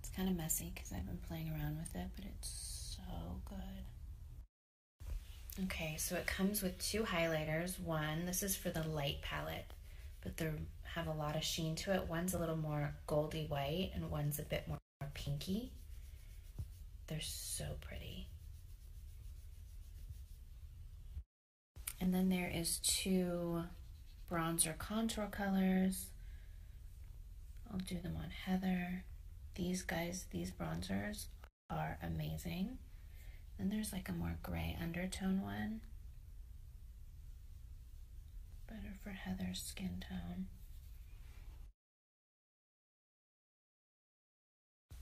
It's kind of messy because I've been playing around with it, but it's so good. Okay, so it comes with two highlighters. One, this is for the light palette, but they have a lot of sheen to it. One's a little more goldy white and one's a bit more pinky. They're so pretty. And then there is two bronzer contour colors. I'll do them on Heather. These guys, these bronzers are amazing. Then there's like a more gray undertone one. Better for Heather's skin tone.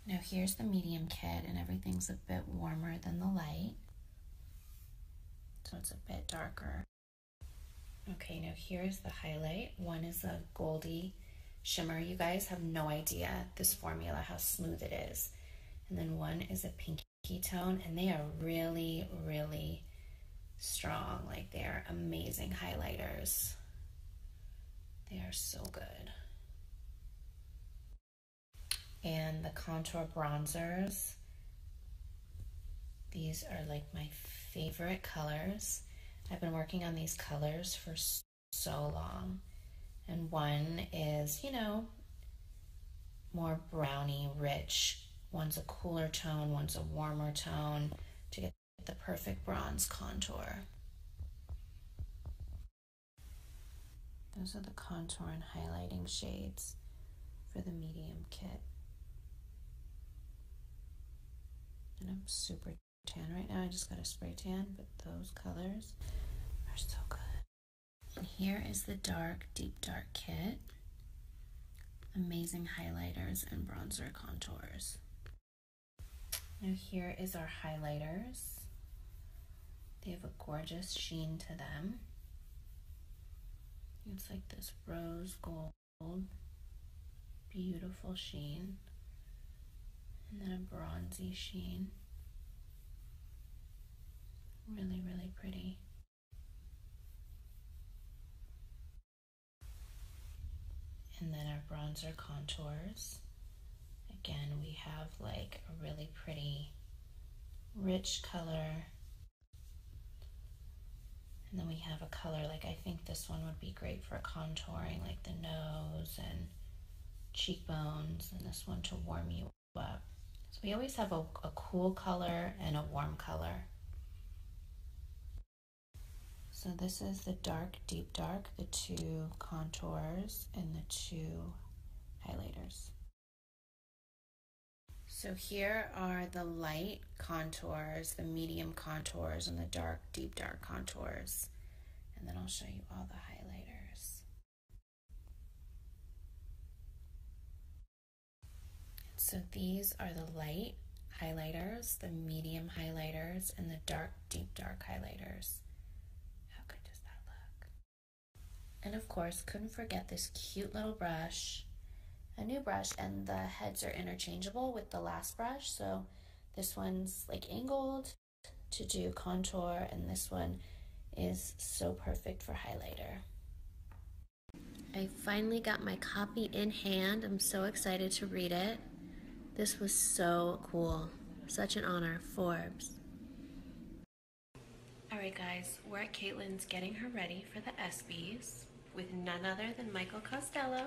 Now here's the medium kit and everything's a bit warmer than the light. So it's a bit darker. Okay, now here's the highlight. One is a goldy shimmer. You guys have no idea this formula, how smooth it is. And then one is a pinky tone, and they are really, really strong. Like they are amazing highlighters. They are so good. And the contour bronzers these are like my favorite colors. I've been working on these colors for so long. And one is, you know, more browny rich. One's a cooler tone, one's a warmer tone to get the perfect bronze contour. Those are the contour and highlighting shades for the medium kit. And I'm super tan right now. I just got a spray tan, but those colors are so good. And here is the dark, deep dark kit. Amazing highlighters and bronzer contours. Now here is our highlighters. They have a gorgeous sheen to them. It's like this rose gold, beautiful sheen, and then a bronzy sheen. Really, really pretty. And then our bronzer contours. Again, we have like a really pretty rich color and then we have a color, like I think this one would be great for contouring, like the nose and cheekbones, and this one to warm you up. So we always have a, cool color and a warm color. So this is the dark, deep dark, the two contours, and the two highlighters. So here are the light contours, the medium contours, and the dark, deep dark contours. And then I'll show you all the highlighters. So these are the light highlighters, the medium highlighters, and the dark, deep dark highlighters. How good does that look? And of course, couldn't forget this cute little brush a new brush and the heads are interchangeable with the last brush. So this one's like angled to do contour and this one is so perfect for highlighter. I finally got my copy in hand. I'm so excited to read it. This was so cool. Such an honor, Forbes. Alright guys, we're at Caitlyn's getting her ready for the ESPYs with none other than Michael Costello.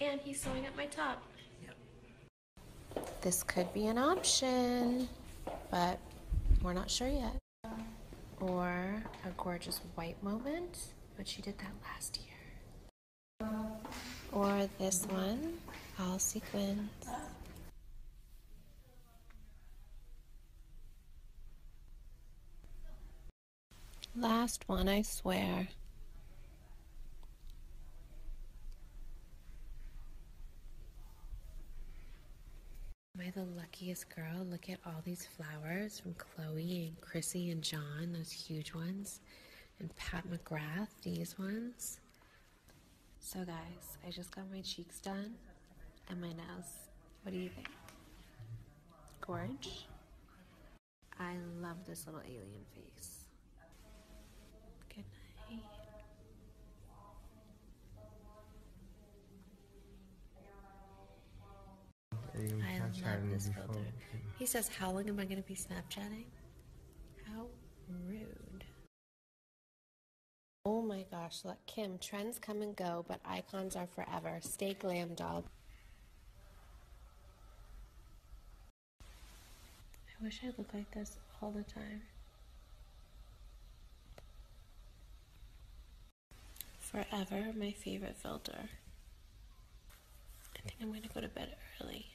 And he's sewing up my top. Yep. This could be an option, but we're not sure yet. Or a gorgeous white moment, but she did that last year. Or this one, all sequins. Last one, I swear. Am I the luckiest girl? Look at all these flowers from Chloe and Chrissy and John, those huge ones, and Pat McGrath, these ones. So, guys, I just got my cheeks done and my nails. What do you think? Gorge. I love this little alien face. Good night. I love this filter. He says, How long am I going to be Snapchatting? How rude. Oh my gosh, look, Kim, trends come and go, but I icons are forever. Stay glam, doll. I wish I looked like this all the time. Forever, my favorite filter. I think I'm going to go to bed early.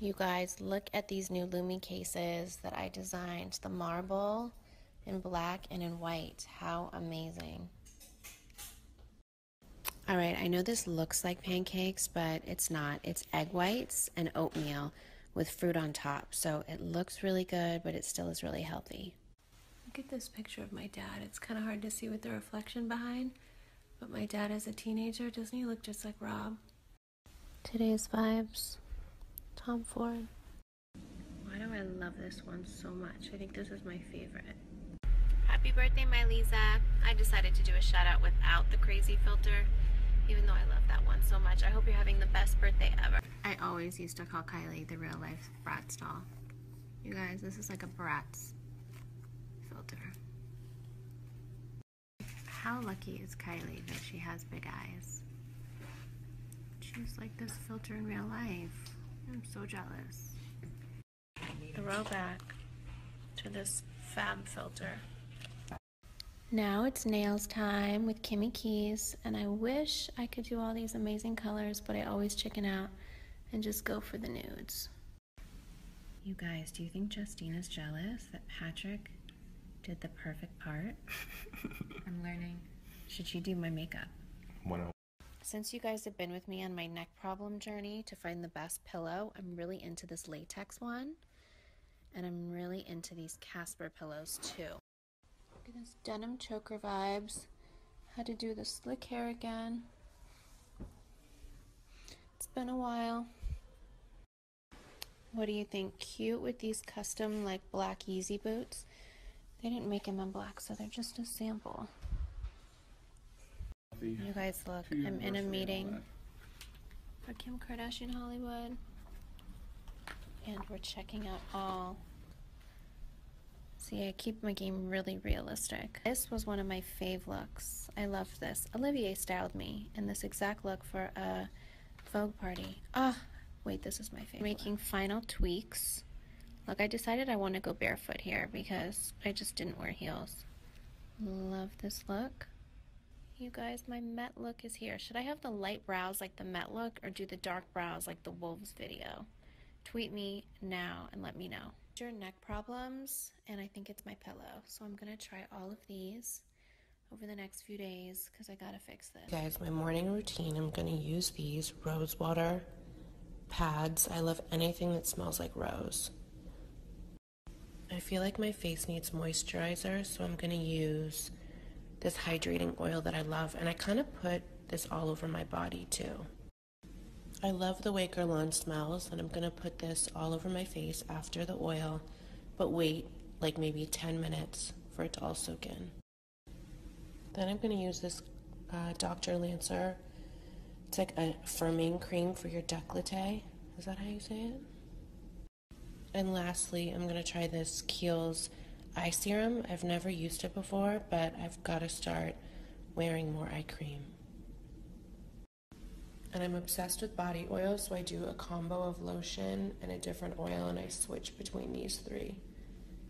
You guys, look at these new Lumi cases that I designed. The marble in black and in white. How amazing. All right, I know this looks like pancakes, but it's not. It's egg whites and oatmeal with fruit on top. So it looks really good, but it still is really healthy. Look at this picture of my dad. It's kind of hard to see with the reflection behind, but my dad as a teenager, doesn't he look just like Rob? Today's vibes, Tom Ford. Why do I love this one so much? I think this is my favorite. Happy birthday, my Lisa. I decided to do a shout out without the crazy filter, even though I love that one so much. I hope you're having the best birthday ever. I always used to call Kylie the real life Bratz doll. You guys, this is like a Bratz filter. How lucky is Kylie that she has big eyes? She's like this filter in real life. I'm so jealous. Throwback to this fab filter. Now it's nails time with Kimmy Keys, and I wish I could do all these amazing colors, but I always chicken out and just go for the nudes. You guys, do you think Justina's jealous that Patrick did the perfect part? I'm learning. Should she do my makeup? 101. Since you guys have been with me on my neck problem journey to find the best pillow, I'm really into this latex one. And I'm really into these Casper pillows too. Look at this denim choker vibes. Had to do the slick hair again. It's been a while. What do you think? Cute with these custom like black easy boots. They didn't make him in black, so they're just a sample. You guys look, I'm in a meeting for Kim Kardashian Hollywood. And we're checking out all. See, I keep my game really realistic. This was one of my fave looks. I love this. Olivier styled me in this exact look for a Vogue party. Ah, wait, this is my favorite. Making final tweak weeks. Look, I decided I want to go barefoot here because I just didn't wear heels. Love this look. You guys, my Met look is here. Should I have the light brows like the Met look or do the dark brows like the Wolves video? Tweet me now and let me know. Your neck problems, and I think it's my pillow. So I'm going to try all of these over the next few days because I gotta fix this. Guys, my morning routine, I'm gonna use these rose water pads. I love anything that smells like rose. I feel like my face needs moisturizer, so I'm gonna use this hydrating oil that I love, and I kind of put this all over my body too. I love the way Guerlain smells, and I'm gonna put this all over my face after the oil, but wait like maybe 10 minutes for it to all soak in. Then I'm going to use this uh, Dr. Lancer. It's like a firming cream for your décolleté. Is that how you say it? And lastly, I'm going to try this Kiehl's Eye Serum. I've never used it before, but I've got to start wearing more eye cream. And I'm obsessed with body oil, so I do a combo of lotion and a different oil, and I switch between these three.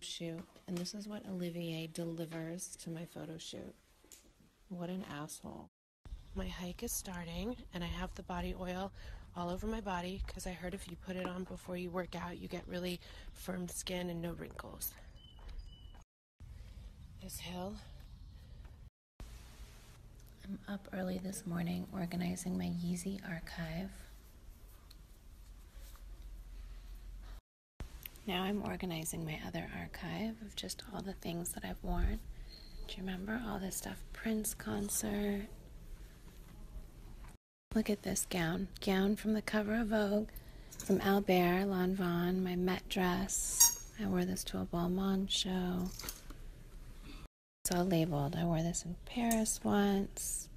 shoot and this is what Olivier delivers to my photo shoot. What an asshole. My hike is starting and I have the body oil all over my body because I heard if you put it on before you work out, you get really firm skin and no wrinkles. This hill I'm up early this morning organizing my Yeezy archive. Now I'm organizing my other archive of just all the things that I've worn. Do you remember all this stuff? Prince concert. Look at this gown. Gown from the cover of Vogue, from Albert Lanvin, my Met dress. I wore this to a Balmain show. It's all labeled. I wore this in Paris once,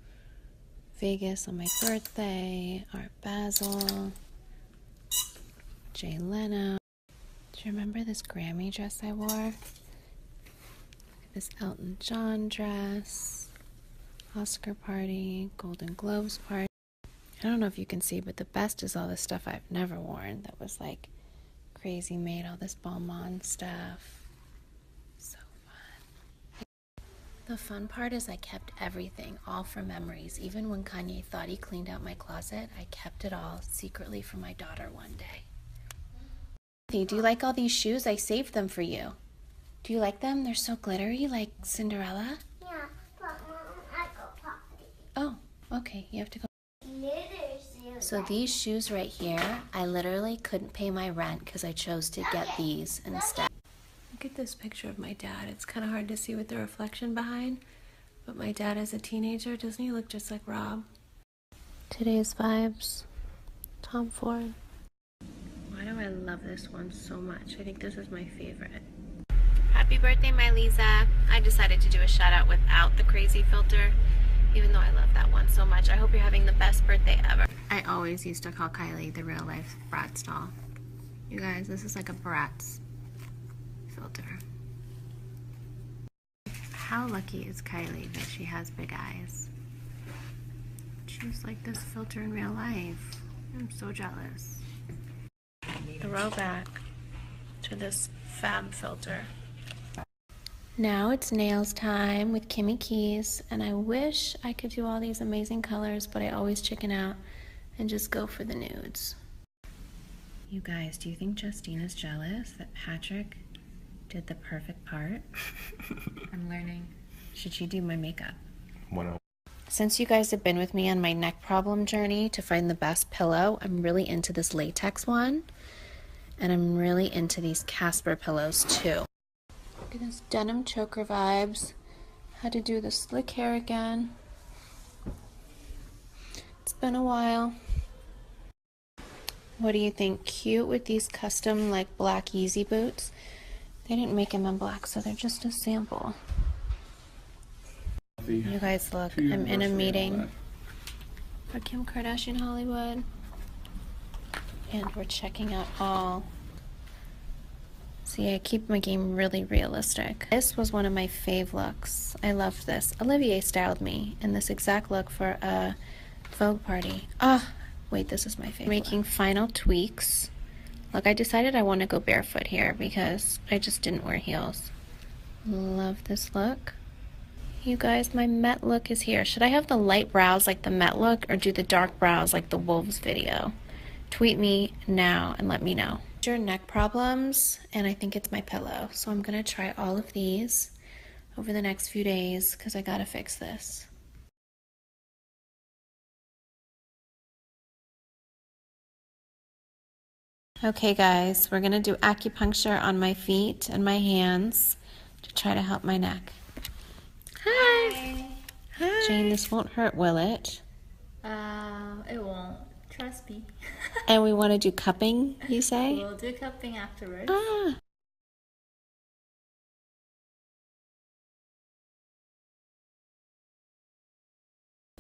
Vegas on my birthday, Art Basel, Jay Leno. Do you remember this Grammy dress I wore? This Elton John dress, Oscar party, Golden Globes party. I don't know if you can see, but the best is all the stuff I've never worn that was like Crazy made all this Balmain stuff. So fun. The fun part is I kept everything, all for memories. Even when Kanye thought he cleaned out my closet, I kept it all secretly for my daughter one day. do you like all these shoes? I saved them for you. Do you like them? They're so glittery, like Cinderella. Yeah, but Mom, um, I go pop. Oh, okay. You have to go. So these shoes right here, I literally couldn't pay my rent because I chose to get these instead. Look at this picture of my dad. It's kind of hard to see with the reflection behind, but my dad as a teenager, doesn't he look just like Rob? Today's Vibes, Tom Ford. Why do I love this one so much? I think this is my favorite. Happy birthday, my Lisa. I decided to do a shout out without the crazy filter, even though I love that one so much. I hope you're having the best birthday ever. I always used to call Kylie the real life Bratz doll. You guys, this is like a Bratz filter. How lucky is Kylie that she has big eyes? She's like this filter in real life. I'm so jealous. Throwback to this fab filter. Now it's nails time with Kimmy Keys, and I wish I could do all these amazing colors, but I always chicken out and just go for the nudes. You guys, do you think Justina's jealous that Patrick did the perfect part? I'm learning. Should she do my makeup? Wow. Oh. Since you guys have been with me on my neck problem journey to find the best pillow, I'm really into this latex one. And I'm really into these Casper pillows too. Look at this denim choker vibes. Had to do the slick hair again. It's been a while. What do you think? Cute with these custom like black easy boots. They didn't make them in black, so they're just a sample. You guys look, I'm in a meeting for Kim Kardashian Hollywood. And we're checking out all. See, I keep my game really realistic. This was one of my fave looks. I love this. Olivier styled me in this exact look for a Vogue party. Ah, wait, this is my favorite. Making final tweaks. Look, I decided I want to go barefoot here because I just didn't wear heels. Love this look. You guys, my Met look is here. Should I have the light brows like the Met look or do the dark brows like the Wolves video? Tweet me now and let me know. Your neck problems, and I think it's my pillow. So I'm gonna try all of these over the next few days because I gotta fix this. Okay guys, we're gonna do acupuncture on my feet and my hands to try to help my neck. Hi. Hi. Jane, this won't hurt, will it? Uh, it won't. Trust me. and we want to do cupping, you say? We'll do cupping afterwards. Ah.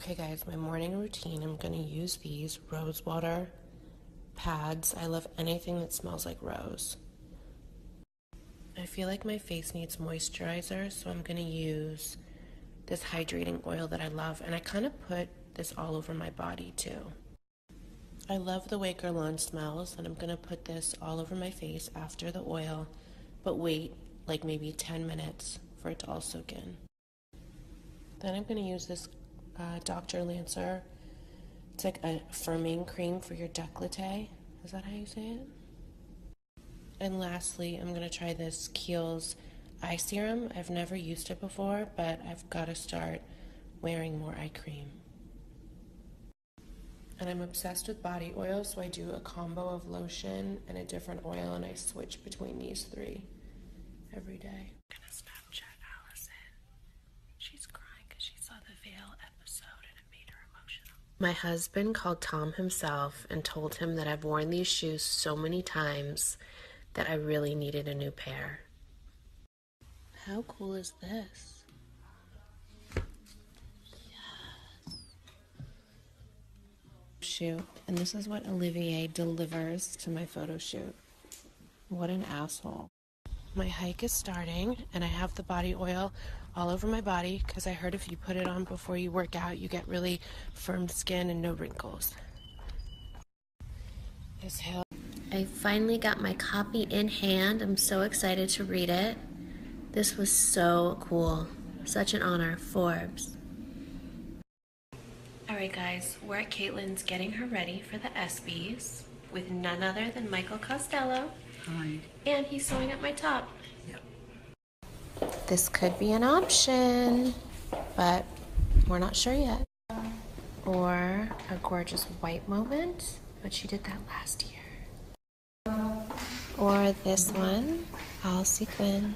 Okay guys, my morning routine, I'm gonna use these rose water pads. I love anything that smells like rose. I feel like my face needs moisturizer, so I'm going to use this hydrating oil that I love, and I kind of put this all over my body too. I love the way Guerlain smells, and I'm going to put this all over my face after the oil, but wait like maybe 10 minutes for it to all soak in. Then I'm going to use this uh, Dr. Lancer it's like a firming cream for your décolleté. Is that how you say it? And lastly, I'm going to try this Kiehl's Eye Serum. I've never used it before, but I've got to start wearing more eye cream. And I'm obsessed with body oil, so I do a combo of lotion and a different oil, and I switch between these three every day. She's crying because she saw the Veil episode and it made her emotional. My husband called Tom himself and told him that I've worn these shoes so many times that I really needed a new pair. How cool is this? Yes. Shoot, and this is what Olivier delivers to my photo shoot. What an asshole. My hike is starting, and I have the body oil all over my body because I heard if you put it on before you work out, you get really firm skin and no wrinkles. This hill. I finally got my copy in hand. I'm so excited to read it. This was so cool. Such an honor, Forbes. All right, guys, we're at Caitlin's getting her ready for the ESPYs with none other than Michael Costello. And he's sewing up my top. This could be an option, but we're not sure yet. Or a gorgeous white moment, but she did that last year. Or this one, all sequins.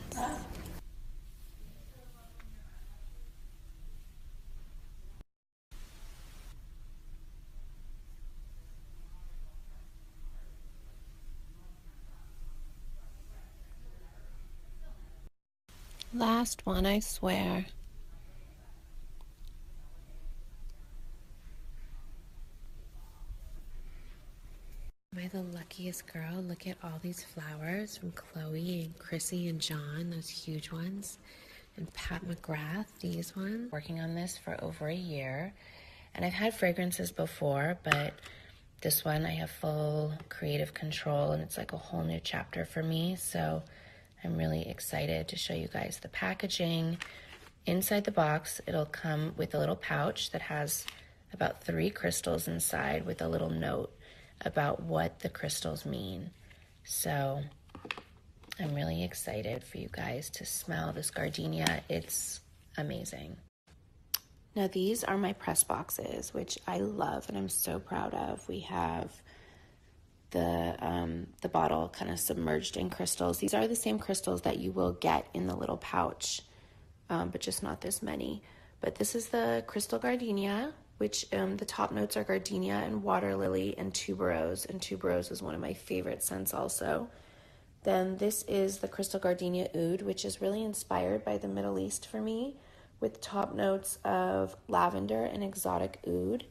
Last one, I swear. Am I the luckiest girl? Look at all these flowers from Chloe and Chrissy and John, those huge ones and Pat McGrath, these ones. Working on this for over a year. And I've had fragrances before, but this one I have full creative control and it's like a whole new chapter for me. So I'm really excited to show you guys the packaging. Inside the box, it'll come with a little pouch that has about three crystals inside with a little note about what the crystals mean. So I'm really excited for you guys to smell this gardenia. It's amazing. Now these are my press boxes, which I love and I'm so proud of. We have the um, the bottle kind of submerged in crystals. These are the same crystals that you will get in the little pouch, um, but just not this many. But this is the crystal gardenia, which um, the top notes are gardenia and water lily and tuberose, and tuberose is one of my favorite scents also. Then this is the Crystal Gardenia Oud, which is really inspired by the Middle East for me, with top notes of lavender and exotic oud.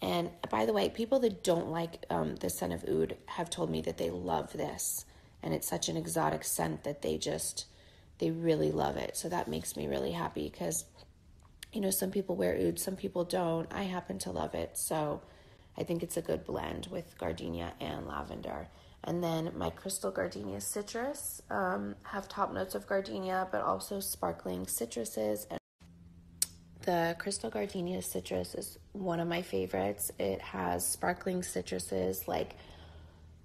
And by the way, people that don't like um, the scent of oud have told me that they love this, and it's such an exotic scent that they just they really love it. So that makes me really happy because you know, some people wear oud, some people don't. I happen to love it, so I think it's a good blend with gardenia and lavender. And then my crystal gardenia citrus um, have top notes of gardenia, but also sparkling citruses. And the crystal gardenia citrus is one of my favorites. It has sparkling citruses like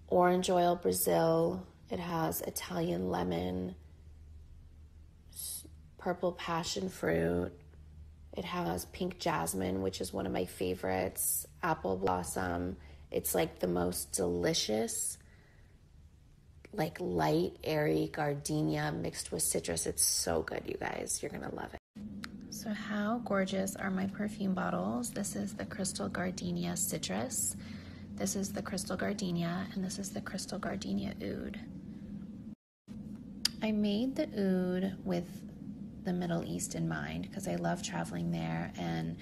orange oil, Brazil, it has Italian lemon, purple passion fruit. It has pink jasmine, which is one of my favorites, apple blossom. It's like the most delicious, like light, airy gardenia mixed with citrus. It's so good, you guys. You're going to love it. So, how gorgeous are my perfume bottles? This is the Crystal Gardenia Citrus. This is the crystal gardenia, and this is the crystal gardenia oud. I made the oud with the Middle East in mind because I love traveling there, and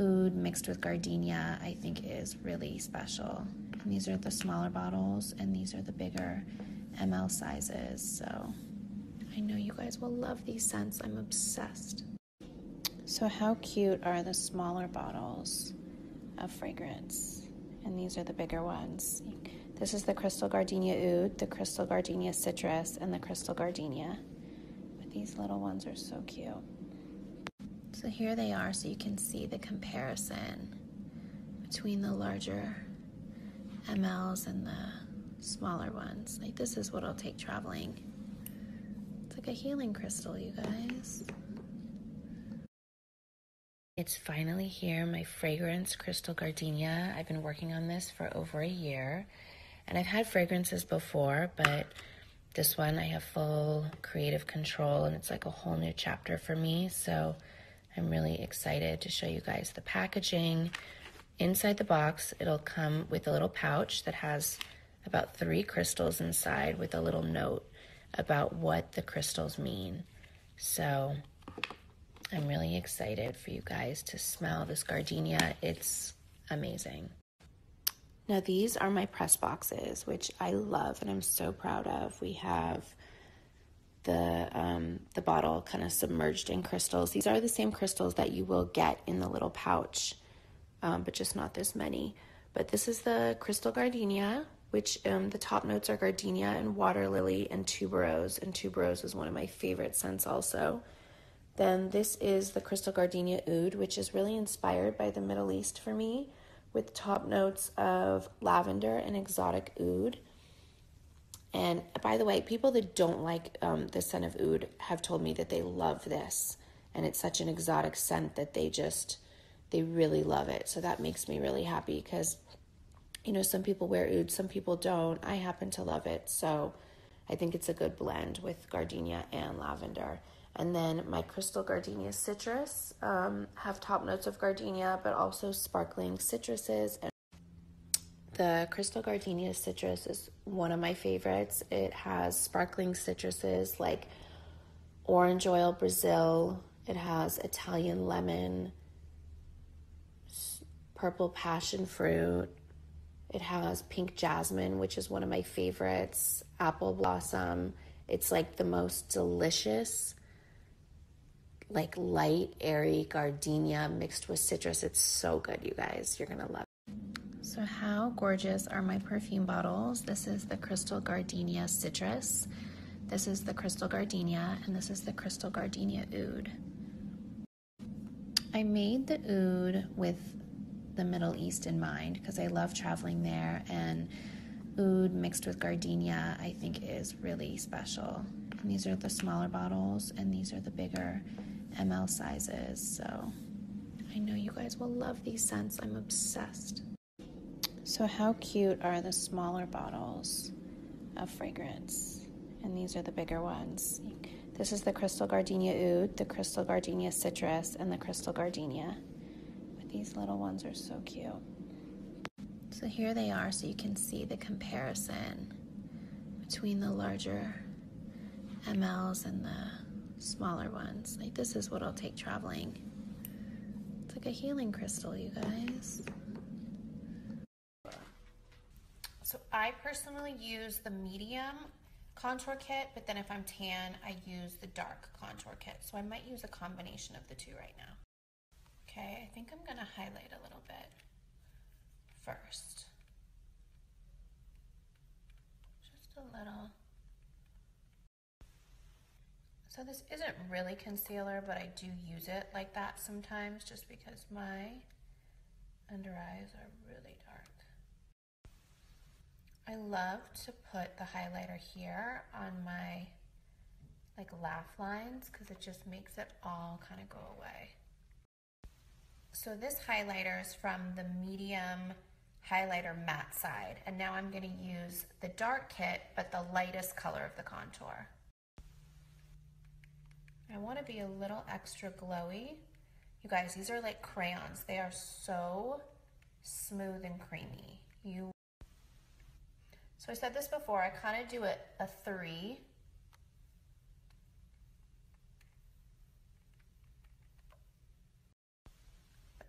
oud mixed with gardenia I think is really special. these are the smaller bottles, and these are the bigger ml sizes. So I know you guys will love these scents. I'm obsessed. So how cute are the smaller bottles of fragrance? And these are the bigger ones. This is the Crystal Gardenia Oud, the Crystal Gardenia Citrus, and the Crystal Gardenia. But these little ones are so cute. So here they are so you can see the comparison between the larger MLs and the smaller ones. Like this is what I'll take traveling. It's like a healing crystal, you guys. It's finally here, my fragrance crystal gardenia. I've been working on this for over a year and I've had fragrances before, but this one I have full creative control and it's like a whole new chapter for me. So I'm really excited to show you guys the packaging. Inside the box, it'll come with a little pouch that has about three crystals inside with a little note about what the crystals mean. So I'm really excited for you guys to smell this gardenia. It's amazing. Now, these are my press boxes, which I love and I'm so proud of. We have the um, the bottle kind of submerged in crystals. These are the same crystals that you will get in the little pouch um, but just not this many. But this is the crystal gardenia, which um, the top notes are gardenia and water lily and tuberose, and tuberose is one of my favorite scents also. Then this is the crystal gardenia oud, which is really inspired by the Middle East for me, with top notes of lavender and exotic oud. And by the way, people that don't like um, the scent of oud have told me that they love this and it's such an exotic scent that they just they really love it. So that makes me really happy because you know, some people wear oud, some people don't. I happen to love it. So I think it's a good blend with gardenia and lavender. And then my crystal gardenia citrus um, have top notes of gardenia, but also sparkling citruses. And the crystal gardenia citrus is one of my favorites. It has sparkling citruses like orange oil Brazil. It has Italian lemon, purple passion fruit. It has pink jasmine, which is one of my favorites, apple blossom. It's like the most delicious, like light, airy gardenia mixed with citrus. It's so good, you guys. You're going to love it. So, how gorgeous are my perfume bottles. This is the Crystal Gardenia Citrus. This is the Crystal Gardenia, and this is the Crystal Gardenia Oud. I made the oud with the Middle East in mind because I love traveling there, and oud mixed with gardenia I think is really special. And these are the smaller bottles, and these are the bigger ml sizes. So I know you guys will love these scents. I'm obsessed. So how cute are the smaller bottles of fragrance? And these are the bigger ones. This is the Crystal Gardenia Oud, the Crystal Gardenia Citrus, and the Crystal Gardenia. But these little ones are so cute. So here they are so you can see the comparison between the larger MLs and the smaller ones. Like this is what I'll take traveling. It's like a healing crystal, you guys. So I personally use the medium contour kit, but then if I'm tan, I use the dark contour kit. So I might use a combination of the two right now. Okay, I think I'm gonna highlight a little bit first. Just a little so this isn't really concealer, but I do use it like that sometimes just because my under eyes are really dark. I love to put the highlighter here on my like laugh lines because it just makes it all kind of go away. So this highlighter is from the medium highlighter matte side. And now I'm gonna use the dark kit, but the lightest color of the contour. I wanna be a little extra glowy. You guys, these are like crayons. They are so smooth and creamy. You. So I said this before, I kind of do a, a three.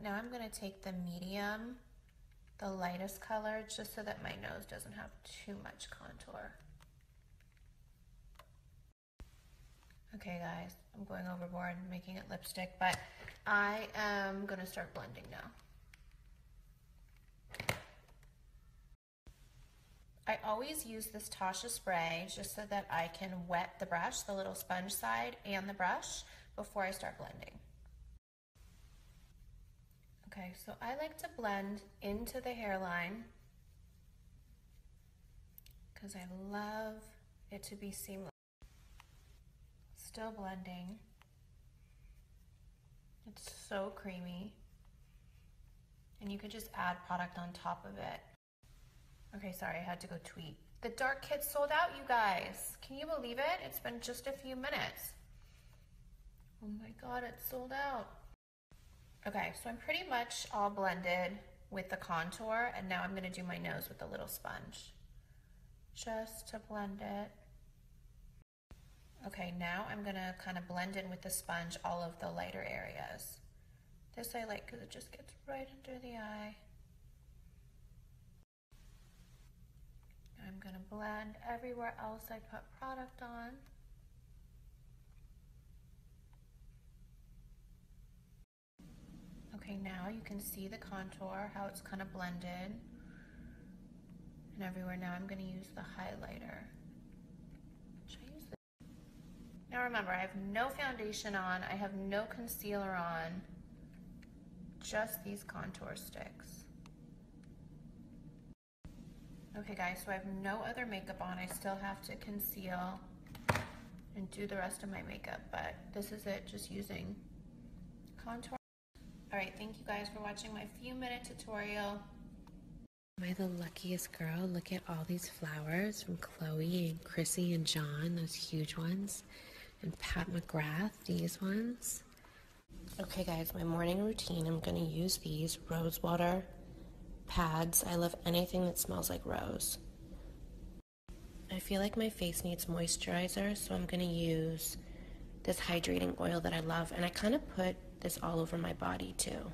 Now I'm going to take the medium, the lightest color, just so that my nose doesn't have too much contour. Okay guys, I'm going overboard making it lipstick, but I am going to start blending now. I always use this Tasha spray just so that I can wet the brush, the little sponge side and the brush, before I start blending. Okay, so I like to blend into the hairline because I love it to be seamless. Still blending. It's so creamy. And you could just add product on top of it. Okay, sorry, I had to go tweet. The dark kit sold out, you guys. Can you believe it? It's been just a few minutes. Oh my God, it sold out. Okay, so I'm pretty much all blended with the contour and now I'm gonna do my nose with a little sponge just to blend it. Okay, now I'm gonna kind of blend in with the sponge all of the lighter areas. This I like because it just gets right under the eye. I'm going to blend everywhere else I put product on. Okay, now you can see the contour, how it's kind of blended. And everywhere now I'm going to use the highlighter. Now remember, I have no foundation on, I have no concealer on just these contour sticks. Okay guys, so I have no other makeup on. I still have to conceal and do the rest of my makeup, but this is it, just using contour. All right, thank you guys for watching my few minute tutorial. Am I the luckiest girl? Look at all these flowers from Chloe and Chrissy and John, those huge ones and Pat McGrath, these ones. Okay, guys, my morning routine I'm gonna use these rose water pads. I love anything that smells like rose. I feel like my face needs moisturizer, so I'm gonna use this hydrating oil that I love, and I kind of put this all over my body too.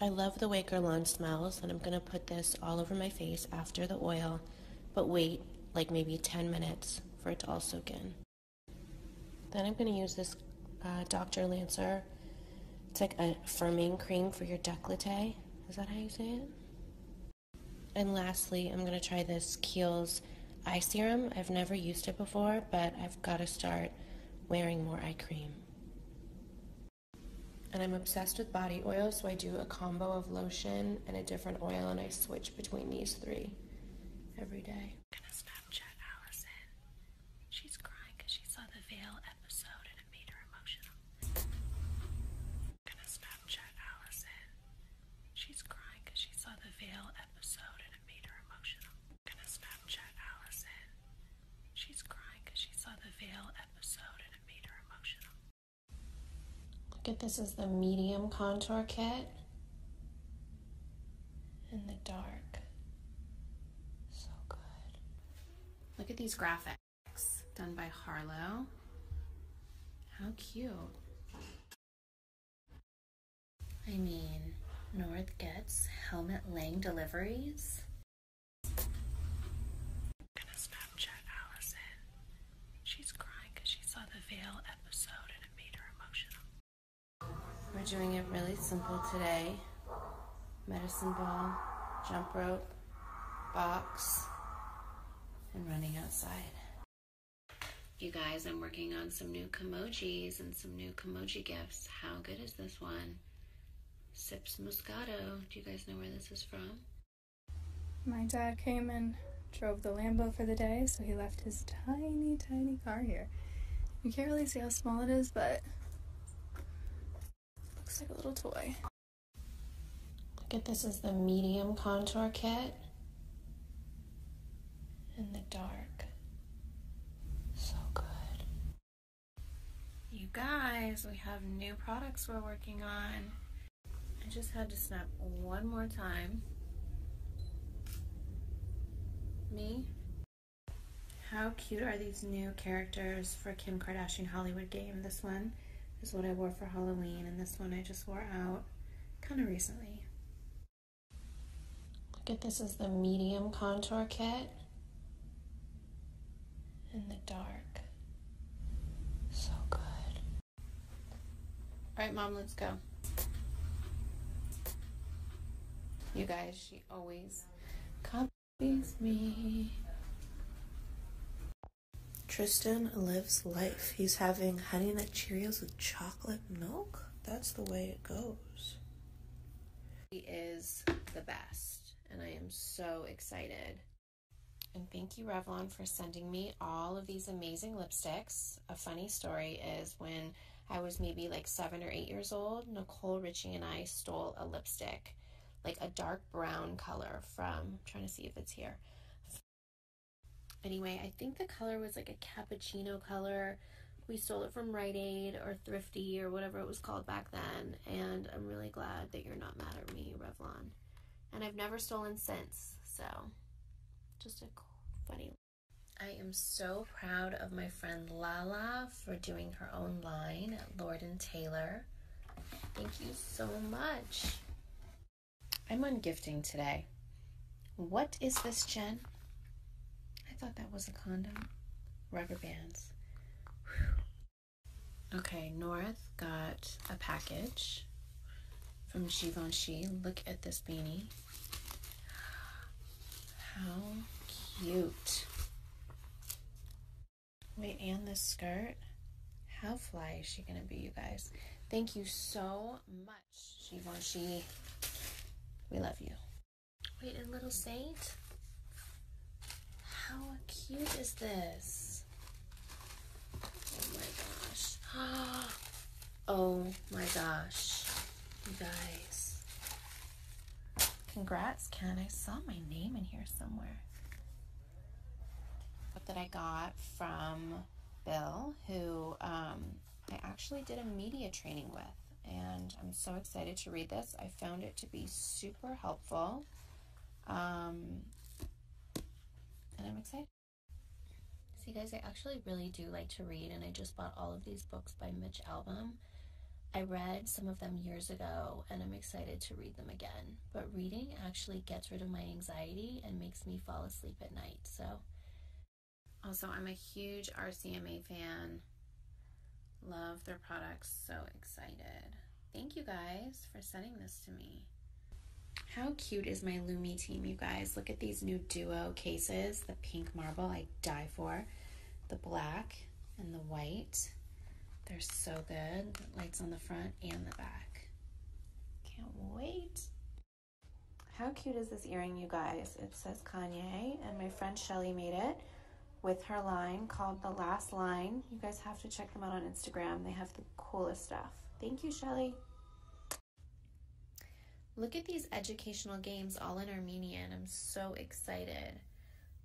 I love the Waker Lawn smells, and I'm gonna put this all over my face after the oil but wait like maybe 10 minutes for it to all soak in. Then I'm going to use this uh, Dr. Lancer. It's like a firming cream for your decollete. Is that how you say it? And lastly, I'm going to try this Kiehl's eye serum. I've never used it before, but I've got to start wearing more eye cream. And I'm obsessed with body oil, so I do a combo of lotion and a different oil, and I switch between these three I'm gonna Snapchat Allison. She's crying she saw the veil episode and it made her emotional. gonna Snapchat Allison. She's crying she saw the veil episode and it made her emotional. gonna Snapchat Allison. She's crying she saw the veil episode and it made her emotional. Look at this is the medium contour kit in the dark. So good. Look at these graphics done by Harlow. How cute. I mean, North gets helmet Lang deliveries gonna Snapchat Allison. She's crying she saw the Veil episode and it made her emotional. We're doing it really simple today. Medicine ball, jump rope, box, and running outside. You guys, I'm working on some new Kimojis and some new Kimoji gifts. How good is this one? Sips Moscato. Do you guys know where this is from? My dad came and drove the Lambo for the day, so he left his tiny, tiny car here. You can't really see how small it is, but looks like a little toy. Look at this is the medium contour kit in the dark. So good. You guys, we have new products we're working on. I just had to snap one more time. Me. How cute are these new characters for Kim Kardashian Hollywood game? This one is what I wore for Halloween and this one I just wore out kind of recently. Look at this is the medium contour kit in the dark. So good. All right, mom, let's go. You guys, she always copies me. Tristan lives life. He's having honey nut Cheerios with chocolate milk. That's the way it goes. He is the best, and I am so excited. And thank you, Revlon, for sending me all of these amazing lipsticks. A funny story is when I was maybe like seven or eight years old, Nicole Richie and I stole a lipstick, like a dark brown color from, trying to see if it's here. Anyway, I think the color was like a cappuccino color. We stole it from Rite Aid or Thrifty or whatever it was called back then. And I'm really glad that you're not mad at me, Revlon and I've never stolen since. So, just a cool, funny. I am so proud of my friend Lala for doing her own line at Lord and Taylor. Thank you so much. I'm ungifting today. What is this, Jen? I thought that was a condom. Rubber bands. Okay, North got a package from Givenchy. Look at this beanie. How cute. Wait, and this skirt? How fly is she going to be, you guys? Thank you so much, Givenchy. We love you. Wait, and Little Saint? How cute is this? Oh my gosh. Oh my gosh. You guys. Congrats, Ken. I saw my name in here somewhere. What did I got from Bill, who um, I actually did a media training with. And I'm so excited to read this. I found it to be super helpful. Um, and I'm excited. See, guys, I actually really do like to read, and I just bought all of these books by Mitch Albom. I read some of them years ago, and I'm excited to read them again. But reading actually gets rid of my anxiety and makes me fall asleep at night. So, also, I'm a huge RCMA fan. Love their products. So excited. Thank you guys for sending this to me. How cute is my Lumi team, you guys? Look at these new duo cases. The pink marble I die for. The black and the white. They're so good. Lights on the front and the back. Can't wait. How cute is this earring, you guys? It says Kanye, and my friend Shelly made it with her line called The Last Line. You guys have to check them out on Instagram. They have the coolest stuff. Thank you, Shelly. Look at these educational games all in Armenian. I'm so excited.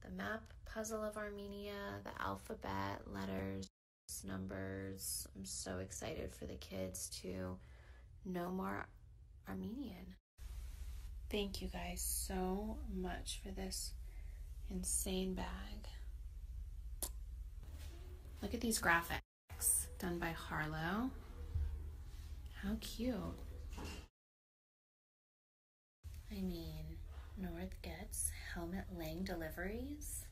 The map puzzle of Armenia, the alphabet, letters, numbers. I'm so excited for the kids to know more Armenian. Thank you guys so much for this insane bag. Look at these graphics done by Harlow. How cute. I mean, North gets helmet Lang deliveries.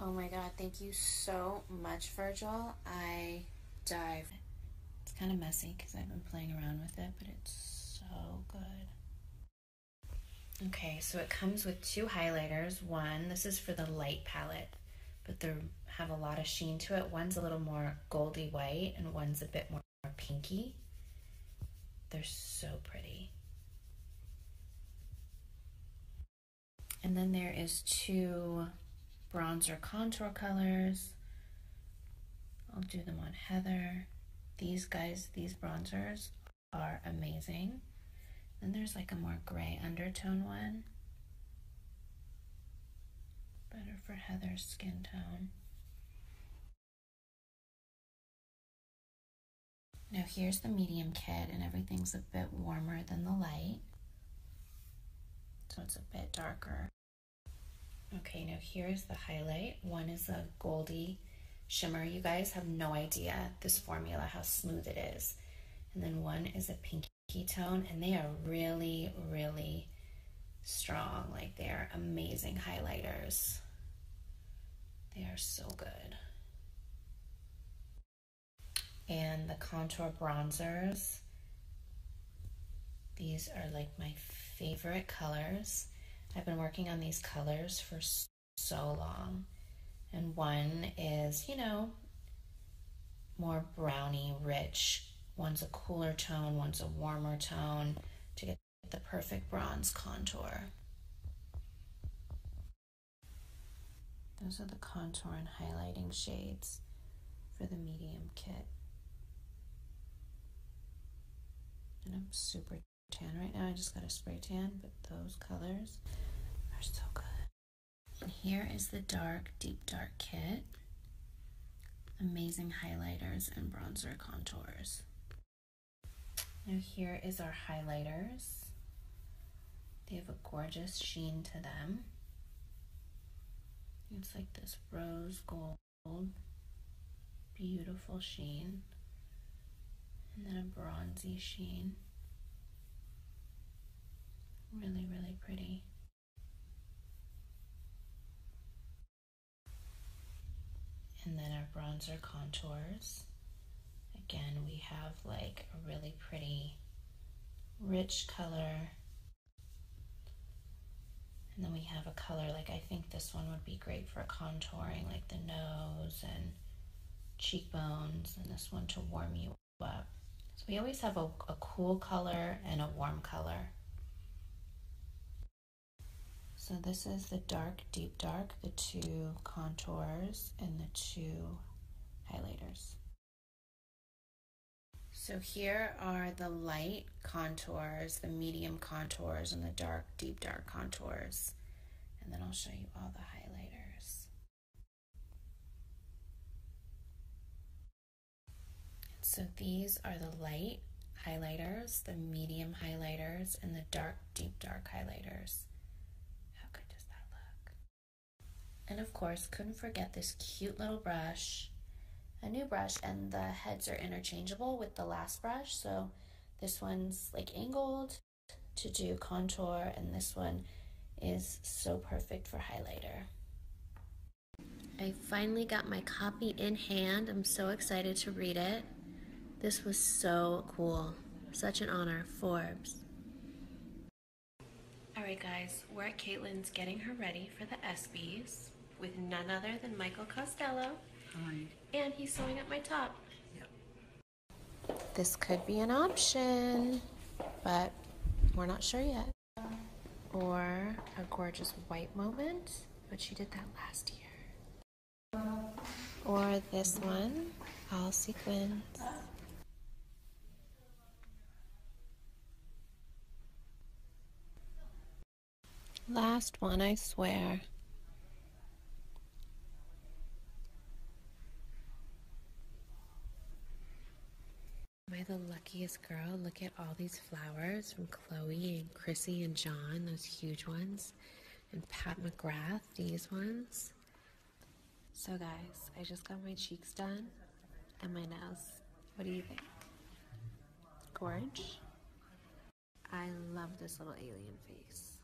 Oh my god, thank you so much, Virgil. I dive. It's kind of messy because I've been playing around with it, but it's so good. Okay, so it comes with two highlighters. One, this is for the light palette, but they have a lot of sheen to it. One's a little more goldy white and one's a bit more pinky. They're so pretty. And then there is two bronzer contour colors. I'll do them on Heather. These guys, these bronzers are amazing. Then there's like a more gray undertone one. Better for Heather's skin tone. Now here's the medium kit and everything's a bit warmer than the light. So it's a bit darker. Okay, now here's the highlight. One is a goldy shimmer. You guys have no idea this formula, how smooth it is. And then one is a pinky tone, and they are really, really strong. Like they are amazing highlighters. They are so good. And the contour bronzers. These are like my favorite colors. I've been working on these colors for so long. And one is, you know, more brownie rich. One's a cooler tone, one's a warmer tone to get the perfect bronze contour. Those are the contour and highlighting shades for the medium kit. And I'm super tan right now. I just got a spray tan, but those colors are so good. And here is the dark, deep dark kit. Amazing highlighters and bronzer contours. Now here is our highlighters. They have a gorgeous sheen to them. It's like this rose gold, beautiful sheen and then a bronzy sheen. Really, really pretty. And then our bronzer contours. Again, we have like a really pretty, rich color. And then we have a color, like I think this one would be great for contouring, like the nose and cheekbones, and this one to warm you up. So we always have a cool color and a warm color. So this is the dark, deep dark, the two contours and the two highlighters. So here are the light contours, the medium contours, and the dark, deep dark contours and then I'll show you all the highlighters. So these are the light highlighters, the medium highlighters, and the dark, deep dark highlighters. How good does that look? And of course, couldn't forget this cute little brush, a new brush, and the heads are interchangeable with the last brush. So this one's like angled, to do contour and this one is so perfect for highlighter. I finally got my copy in hand. I'm so excited to read it. This was so cool. Such an honor, Forbes. Alright guys, we're at Caitlyn's, getting her ready for the ESPYs with none other than Michael Costello. And he's sewing up my top. This could be an option, but we're not sure yet. Or a gorgeous white moment, but she did that last year. Or this one, all sequins. Last one, I swear. Am I the luckiest girl? Look at all these flowers from Chloe and Chrissy and John, those huge ones, and Pat McGrath, these ones. So, guys, I just got my cheeks done and my nails. What do you think? Gorge? I love this little alien face.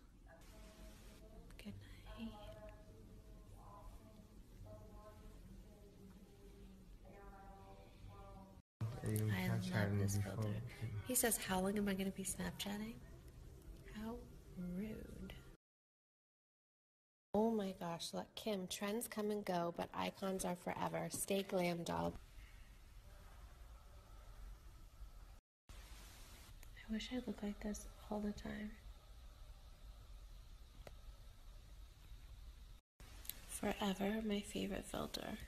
Good night. I love this filter. He says, How long am I going to be Snapchatting? How rude. Oh my gosh, look, Kim, trends come and go, but icons are forever. Stay glam, doll. I wish I looked like this all the time. Forever, my favorite filter.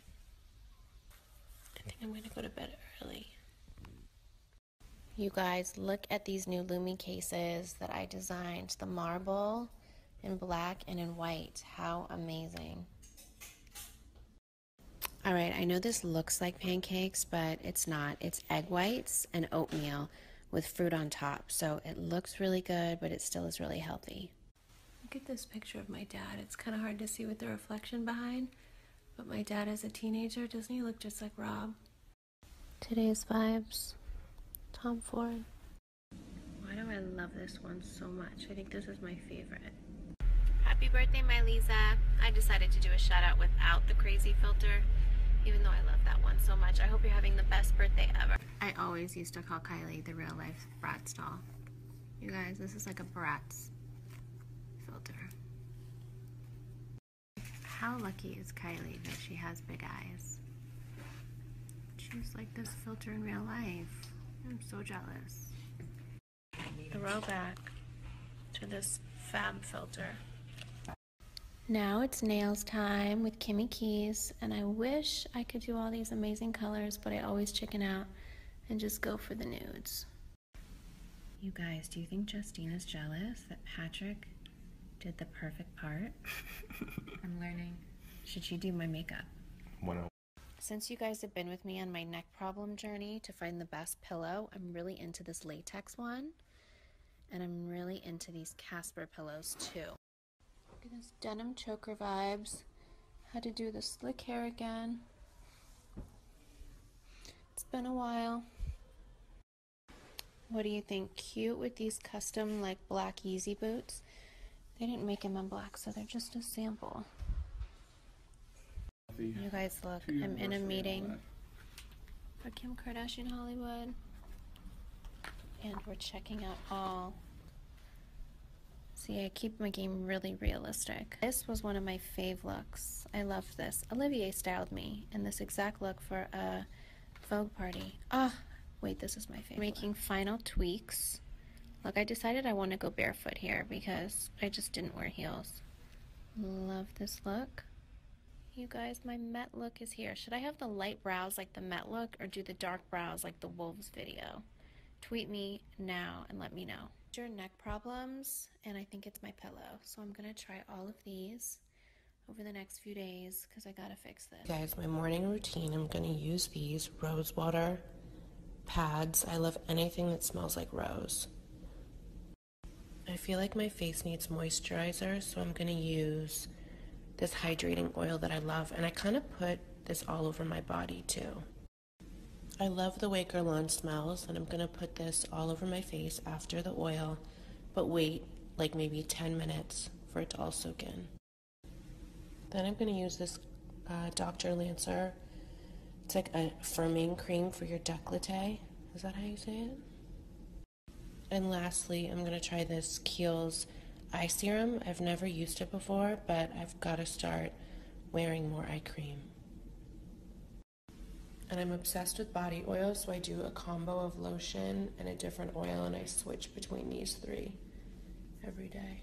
I think I'm gonna go to bed early. You guys, look at these new Lumi cases that I designed. The marble in black and in white. How amazing. All right, I know this looks like pancakes, but it's not. It's egg whites and oatmeal with fruit on top. So it looks really good, but it still is really healthy. Look at this picture of my dad. It's kind of hard to see with the reflection behind, but my dad as a teenager, doesn't he look just like Rob? Today's Vibes, Tom Ford. Why do I love this one so much? I think this is my favorite. Happy birthday, Miley. I decided to do a shout out without the crazy filter, even though I love that one so much. I hope you're having the best birthday ever. I always used to call Kylie the real life Bratz doll. You guys, this is like a Bratz filter. How lucky is Kylie that she has big eyes? She's like this filter in real life. I'm so jealous throwback to this fab filter. Now it's nails time with Kimmy Keys, and I wish I could do all these amazing colors, but I always chicken out and just go for the nudes. You guys, do you think Justine is jealous that Patrick did the perfect part? I'm learning. Should she do my makeup? Oh. Since you guys have been with me on my next problem journey to find the best pillow. I'm really into this latex one, and I'm really into these Casper pillows too. Look at this denim choker vibes. Had to do the slick hair again. It's been a while. What do you think? Cute with these custom like black easy boots. They didn't make them in black, so they're just a sample. You guys look, I'm in a meeting for Kim Kardashian Hollywood. And we're checking out all. See, I keep my game really realistic. This was one of my fave looks. I love this. Olivier styled me in this exact look for a Vogue party. Ah, wait, this is my favorite. Making final tweaks. Look, I decided I want to go barefoot here because I just didn't wear heels. Love this look. You guys, my Met look is here. Should I have the light brows like the Met look or do the dark brows like the Wolves video? Tweet me now and let me know. Your neck problems, and I think it's my pillow. So I'm gonna try all of these over the next few days because I gotta fix this. Guys, my morning routine, I'm gonna use these rose water pads. I love anything that smells like rose. I feel like my face needs moisturizer, so I'm going to use this hydrating oil that I love, and I kind of put this all over my body too. I love the way Guerlain smells, and I'm going to put this all over my face after the oil, but wait like maybe 10 minutes for it to all soak in. Then I'm going to use this uh, Dr. Lancer. It's like a firming cream for your décolleté. Is that how you say it? And lastly, I'm going to try this Kiehl's Eye Serum. I've never used it before, but I've got to start wearing more eye cream. And I'm obsessed with body oil, so I do a combo of lotion and a different oil, and I switch between these three every day.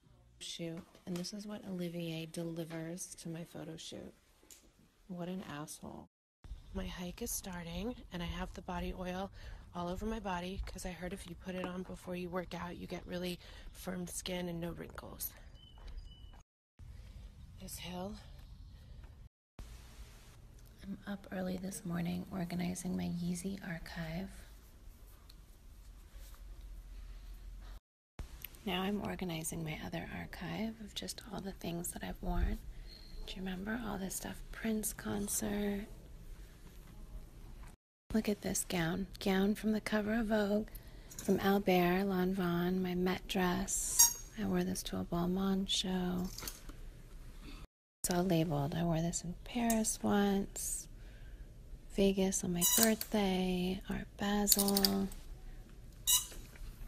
shoot, and this is what Olivier delivers to my photo shoot. What an asshole. My hike is starting, and I have the body oil all over my body because I heard if you put it on before you work out, you get really firm skin and no wrinkles. This hill. I'm up early this morning organizing my Yeezy archive. Now I'm organizing my other archive of just all the things that I've worn. Do you remember all this stuff? Prince concert. Look at this gown. Gown from the cover of Vogue, from Albert Lanvin, my Met dress. I wore this to a Balmain show. It's all labeled. I wore this in Paris once, Vegas on my birthday, Art Basel.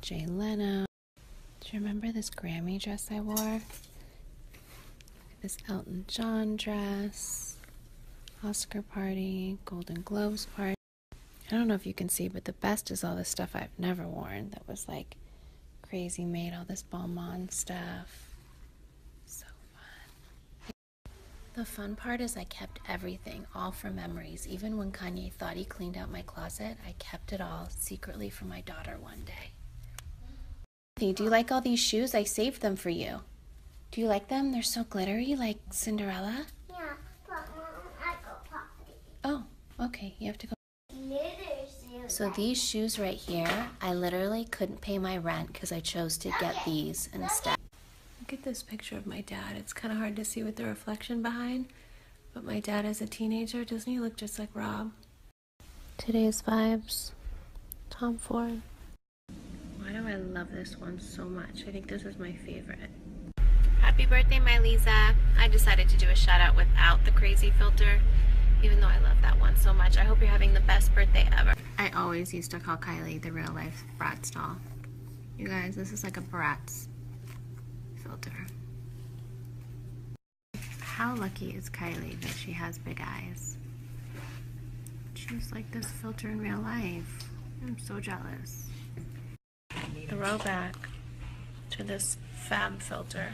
Jay Leno. Do you remember this Grammy dress I wore? This Elton John dress, Oscar party, Golden Globes party. I don't know if you can see, but the best is all the stuff I've never worn that was like crazy made, all this Balmain stuff. So fun. The fun part is I kept everything, all for memories. Even when Kanye thought he cleaned out my closet, I kept it all secretly for my daughter one day. do you like all these shoes? I saved them for you. Do you like them? They're so glittery, like Cinderella. Yeah, but I go potty. Oh, okay. You have to go. So these shoes right here, I literally couldn't pay my rent because I chose to get these instead. Look at this picture of my dad. It's kind of hard to see with the reflection behind, but my dad as a teenager, doesn't he look just like Rob? Today's vibes, Tom Ford. Why do I love this one so much? I think this is my favorite. Happy birthday, my Lisa. I decided to do a shout out without the crazy filter, even though I love that one so much. I hope you're having the best birthday ever. I always used to call Kylie the real life brat doll. You guys, this is like a Bratz filter. How lucky is Kylie that she has big eyes? She's like this filter in real life. I'm so jealous. Throwback to this fab filter.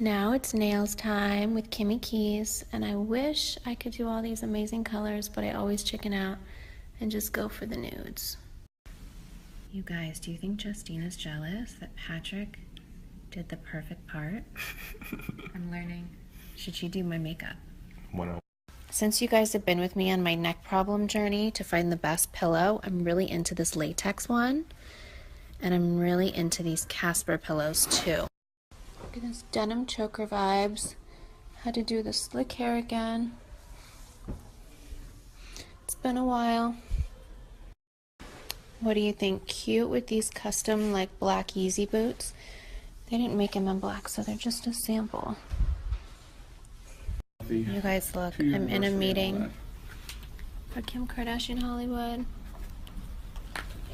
Now it's nails time with Kimmy Keys, and I wish I could do all these amazing colors, but I always chicken out and just go for the nudes. You guys, do you think Justina's jealous that Patrick did the perfect part? I'm learning. Should she do my makeup? One oh. since you guys have been with me on my neck problem journey to find the best pillow, I'm really into this latex one. And I'm really into these Casper pillows too. Look at those denim choker vibes. Had to do the slick hair again. It's been a while. What do you think? Cute with these custom like black Easy boots. They didn't make them in black, so they're just a sample. You guys look, I'm in a meeting for Kim Kardashian Hollywood.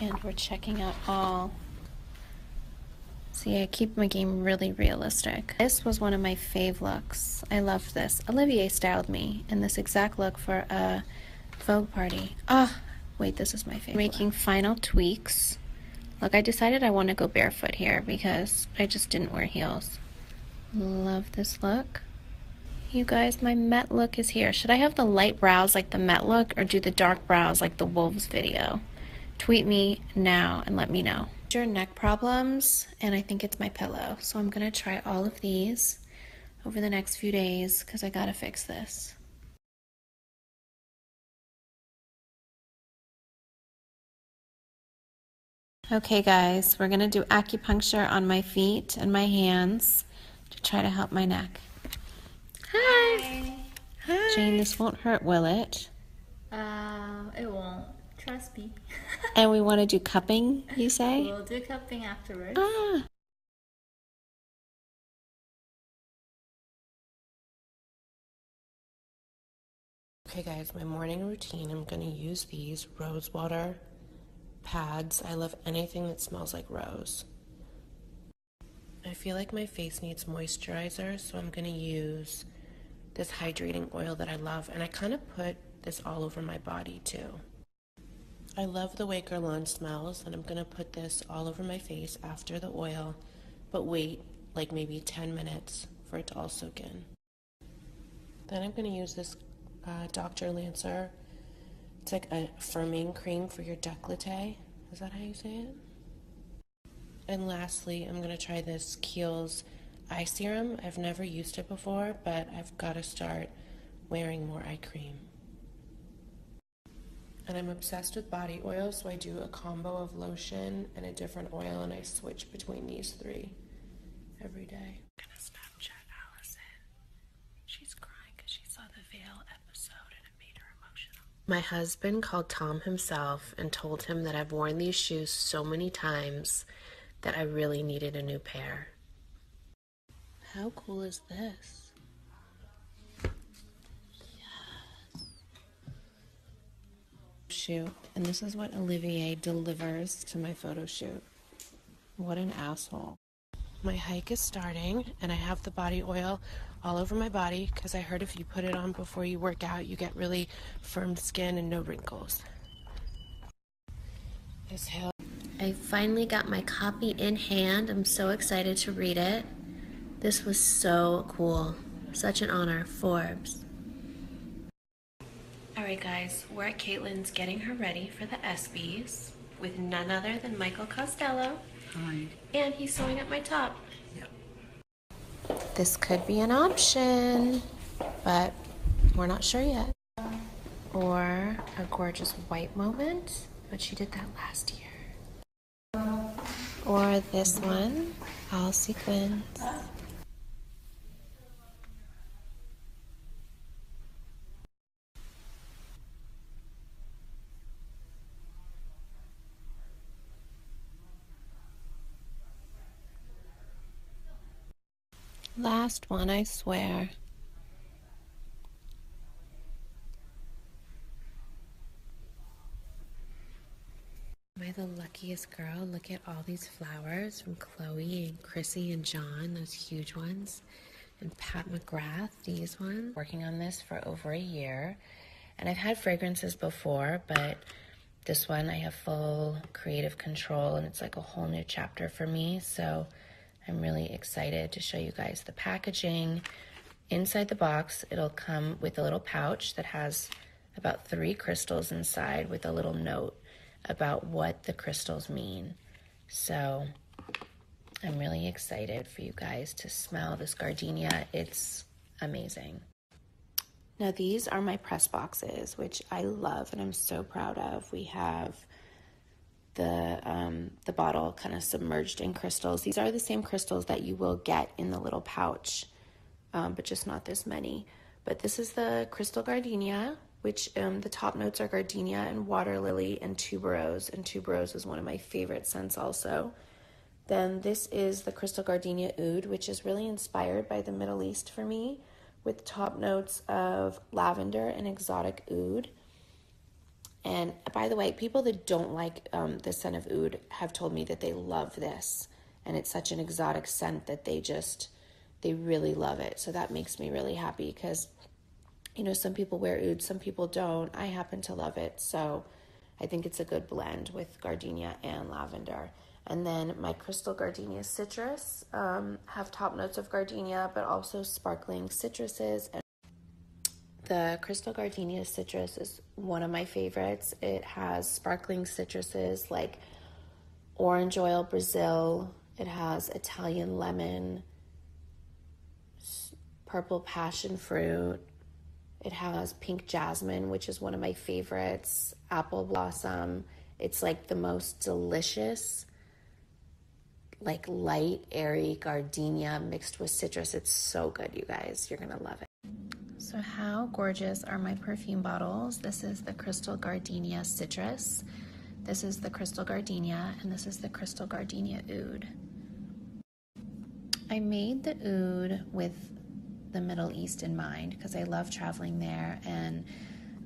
And we're checking out all See, I keep my game really realistic. This was one of my fave looks. I love this. Olivier styled me in this exact look for a Vogue party. Ah, wait, this is my favorite. Making final tweaks. Look, I decided I want to go barefoot here because I just didn't wear heels. Love this look. You guys, my Met look is here. Should I have the light brows like the Met look or do the dark dark brows like the wolves video. Tweet me now and let me know. Your neck problems, and I think it's my pillow. So I'm gonna try all of these over the next few days because I gotta fix this. Okay guys, we're gonna do acupuncture on my feet and my hands to try to help my neck. Hi. Hi. Jane, this won't hurt, will it? Uh, it won't. Trust me. and we want to do cupping, you say? We'll do cupping afterwards. Ah. Okay guys, my morning routine, I'm gonna use these rose water pads. I love anything that smells like rose. I feel like my face needs moisturizer, so I'm going to use this hydrating oil that I love, and I kind of put this all over my body too. I love the way Guerlain smells, and I'm going to put this all over my face after the oil, but wait like maybe 10 minutes for it to all soak in. Then I'm going to use this uh, Dr. Lancer. It's like a firming cream for your decollete. Is that how you say it? And lastly, I'm going to try this Kiehl's Eye Serum. I've never used it before, but I've got to start wearing more eye cream. And I'm obsessed with body oil, so I do a combo of lotion and a different oil, and I switch between these three my husband called Tom himself and told him that I've worn these shoes so many times that I really needed a new pair. How cool is this? Yes. Shoot, and this is what Olivier delivers to my photo shoot. What an asshole. My hike is starting, and I have the body oil all over my body because I heard if you put it on before you work out, you get really firm skin and no wrinkles. I finally got my copy in hand. I'm so excited to read it. This was so cool. Such an honor, Forbes. All right, guys, we're at Caitlyn's getting her ready for the ESPYs with none other than Michael Costello. And he's sewing up my top. This could be an option, but we're not sure yet. Or a gorgeous white moment, but she did that last year. Or this one, all sequins. Last one, I swear. Am I the luckiest girl? Look at all these flowers from Chloe and Chrissy and John, those huge ones, and Pat McGrath, these ones. Working on this for over a year, and I've had fragrances before, but this one, I have full creative control and it's like a whole new chapter for me. So I'm really excited to show you guys the packaging. Inside the box, it'll come with a little pouch that has about three crystals inside with a little note about what the crystals mean. So I'm really excited for you guys to smell this gardenia. It's amazing. Now these are my press boxes, which I love and I'm so proud of. We have the um, the bottle kind of submerged in crystals. These are the same crystals that you will get in the little pouch, um, but just not this many. But this is the crystal gardenia, which um, the top notes are gardenia and water lily and tuberose. And tuberose is one of my favorite scents also. Then this is the Crystal Gardenia Oud, which is really inspired by the Middle East for me, with top notes of lavender and exotic oud. And by the way, people that don't like um, the scent of oud have told me that they love this, and it's such an exotic scent that they just they really love it. So that makes me really happy because you know some people wear oud, some people don't. I happen to love it, so I think it's a good blend with gardenia and lavender. And then my crystal gardenia citrus um, have top notes of gardenia, but also sparkling citruses. And the crystal gardenia citrus is one of my favorites. It has sparkling citruses like orange oil Brazil, it has Italian lemon, purple passion fruit, it has pink jasmine, which is one of my favorites, apple blossom. It's like the most delicious, like light, airy gardenia mixed with citrus. It's so good, you guys. You're gonna love it. So how gorgeous are my perfume bottles? This is the Crystal Gardenia Citrus. This is the Crystal Gardenia, and this is the Crystal Gardenia Oud. I made the oud with the Middle East in mind because I love traveling there. And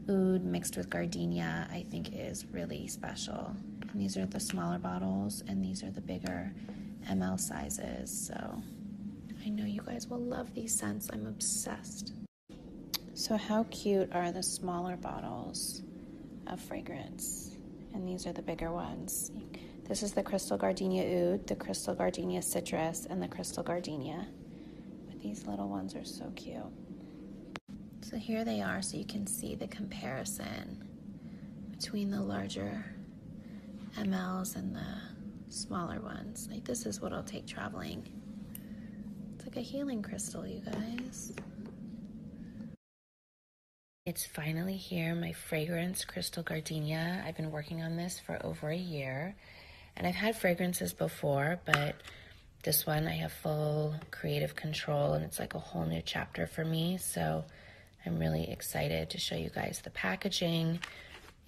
oud mixed with gardenia, I think, is really special. And these are the smaller bottles, and these are the bigger ml sizes. So I know you guys will love these scents. I'm obsessed. So, how cute are the smaller bottles of fragrance? And these are the bigger ones. This is the crystal gardenia oud, the crystal gardenia citrus, and the crystal gardenia. But these little ones are so cute. So here they are, so you can see the comparison between the larger mls and the smaller ones. Like this is what I'll take traveling. It's like a healing crystal, you guys. It's finally here. My fragrance, Crystal Gardenia. I've been working on this for over a year. And I've had fragrances before, but this one I have full creative control and it's like a whole new chapter for me. So I'm really excited to show you guys the packaging.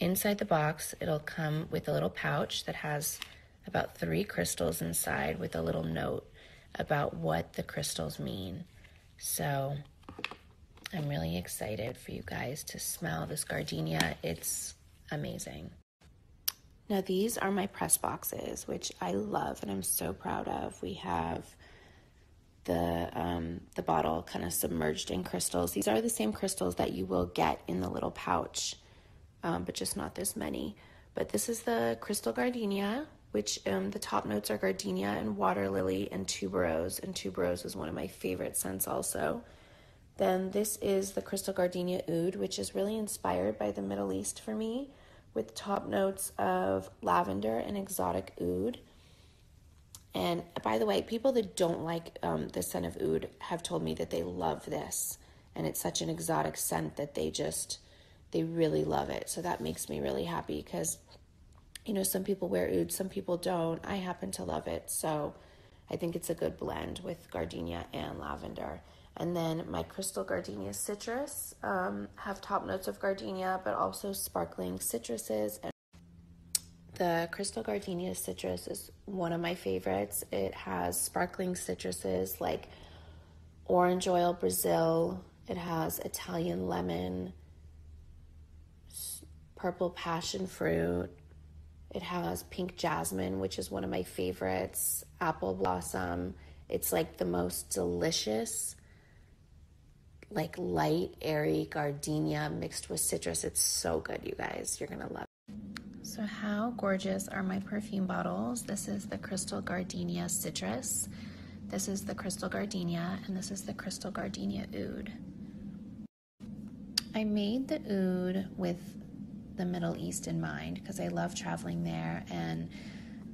Inside the box, it'll come with a little pouch that has about three crystals inside with a little note about what the crystals mean. So I'm really excited for you guys to smell this gardenia. It's amazing. Now these are my press boxes, which I love and I'm so proud of. We have the um, the bottle kind of submerged in crystals. These are the same crystals that you will get in the little pouch, um, but just not this many. But this is the crystal gardenia, which um, the top notes are gardenia and water lily and tuberose. And tuberose is one of my favorite scents also. Then this is the Crystal Gardenia Oud, which is really inspired by the Middle East for me, with top notes of lavender and exotic oud. And by the way, people that don't like um, the scent of oud have told me that they love this, and it's such an exotic scent that they just they really love it. So that makes me really happy because you know, some people wear oud, some people don't. I happen to love it, so I think it's a good blend with gardenia and lavender. And then my crystal gardenia citrus um, have top notes of gardenia, but also sparkling citruses. And the crystal gardenia citrus is one of my favorites. It has sparkling citruses like orange oil Brazil. It has Italian lemon, purple passion fruit. It has pink jasmine, which is one of my favorites, apple blossom. It's like the most delicious, like light, airy gardenia mixed with citrus. It's so good, you guys. You're going to love it. So, how gorgeous are my perfume bottles? This is the Crystal Gardenia Citrus. This is the Crystal Gardenia, and this is the Crystal Gardenia Oud. I made the oud with the Middle East in mind because I love traveling there and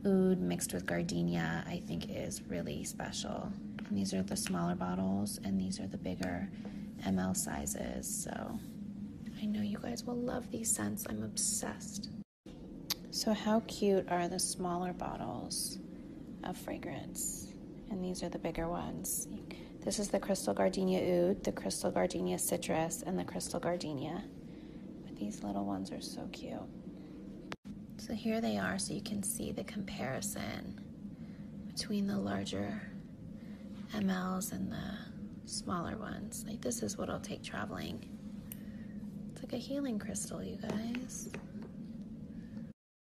oud mixed with gardenia I think is really special. these are the smaller bottles and these are the bigger ml sizes. So I know you guys will love these scents. I'm obsessed. So how cute are the smaller bottles of fragrance? and these are the bigger ones. This is the crystal gardenia oud, the crystal gardenia citrus, and the crystal gardenia. But these little ones are so cute. So here they are, so you can see the comparison between the larger mls and the smaller ones. Like this is what I'll take traveling. It's like a healing crystal, you guys.